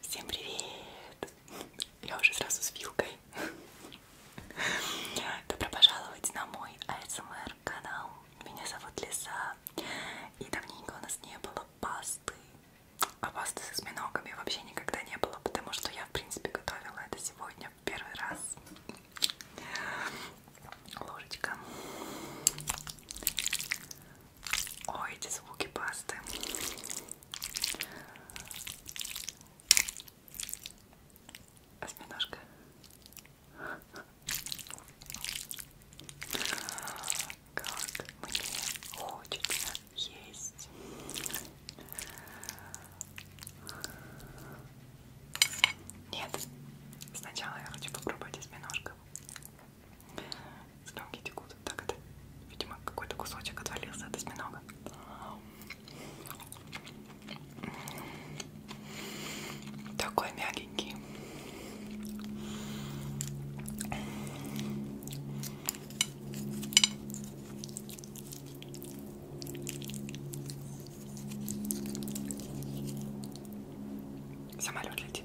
Всем привет! Я уже сразу с вилкой. Добро пожаловать на мой ASMR канал. Меня зовут Лиза. И давненько у нас не было пасты. А пасты со осьминогами вообще никогда не было, потому что я, в принципе, готовила это сегодня в первый раз. Ложечка. Ой, эти звуки пасты. Осьминожка. Как мне хочется есть. Нет, сначала я хочу попробовать осьминожка. Слюнки текут. Так это, видимо, какой-то кусочек отвалился от осьминога. Такой мягенький. Самолет летит.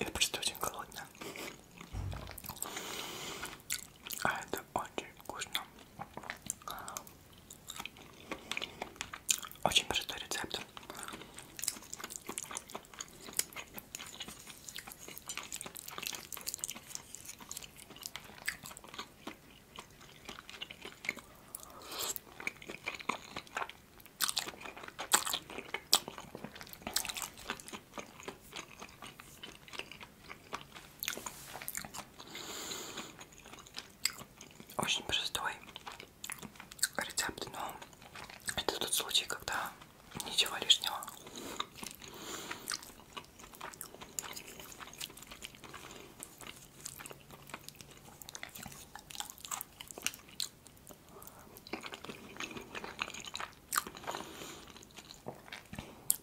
Я просто очень голодная. А это очень вкусно. Очень простой рецепт. Очень простой рецепт, но это тот случай, когда ничего лишнего.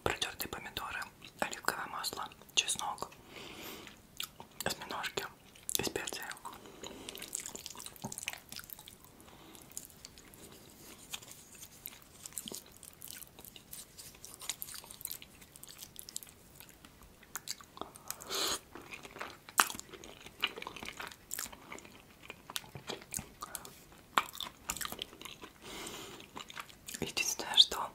Протертые помидоры, оливковое масло, чеснок, осьминожки и специи. Единственное, что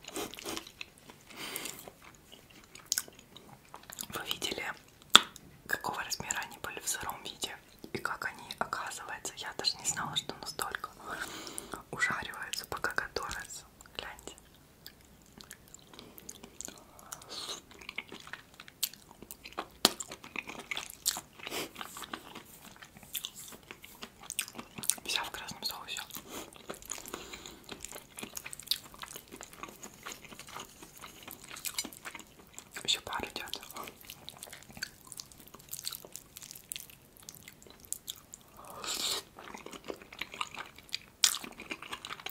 вы видели, какого размера они были в сыром виде и как они оказываются. Я даже не знала, что настолько ужариваются, пока готовятся. Гляньте. Вся в красном соусе. Еще пара идет.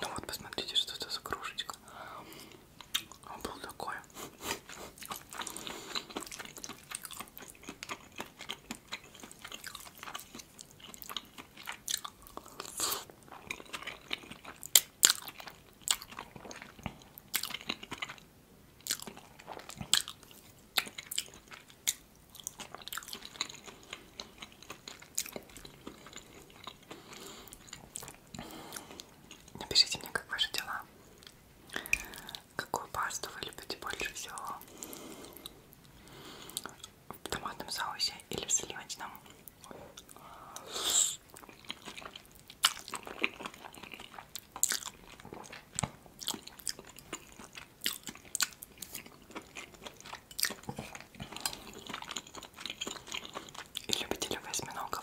Ну вот, посмотрите, что это за кружечка. Он а, был такой. Напишите мне, как ваши дела. Какую пасту вы любите больше всего? В томатном соусе или в сливочном? И любители восьминогов.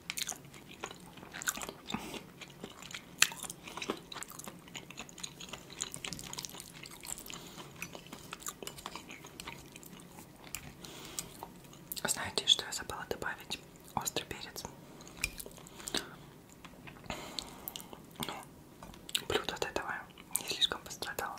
Знаете, что я забыла добавить? Острый перец. Ну, блюдо от этого не слишком пострадало.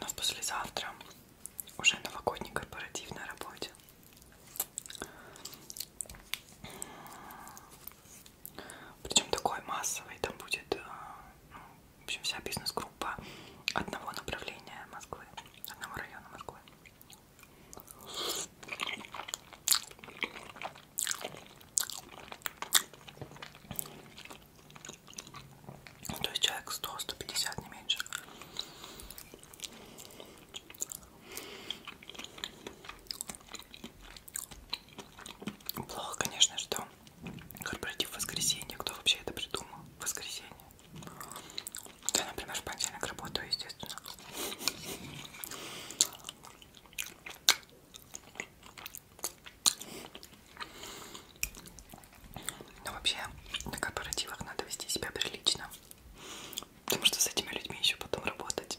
Но послезавтра уже новогодний корпоратив на работе. Причем такой массовый, там будет э, ну, в общем, вся бизнес-группа одного направления Москвы, одного района Москвы. Ну, то есть человек 100-150, не меньше. Плохо, конечно, что корпоратив воскресенье. Кто вообще это придумал? Воскресенье. Я, например, в понедельник работаю, естественно. Но вообще на корпоративах надо вести себя прилично. Потому что с этими людьми еще потом работать.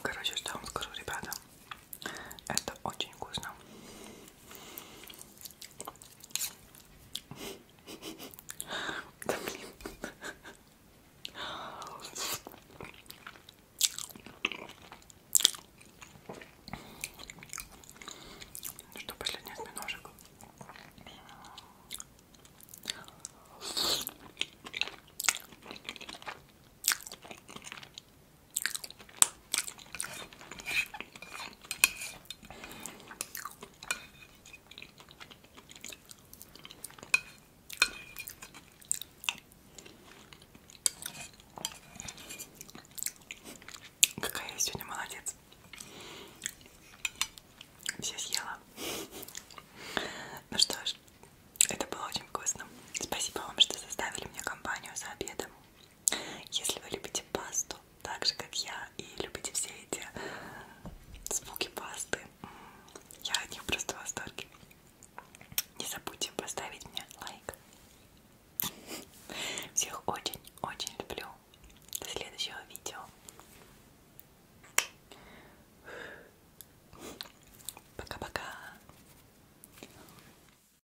Короче, что я вам скажу, ребята? Это очень вкусно. Да блин. Ну что, последний осьминожек? Какая я сегодня молодец. Все съела. Ну что ж, это было очень вкусно. Спасибо вам, что составили мне компанию за обедом. Если вы любите пасту, так же как я, и любите все эти э, звуки пасты, я от них просто в восторге. Не забудьте поставить мне лайк. Всех очень-очень люблю. До следующего видео. Пока-пока.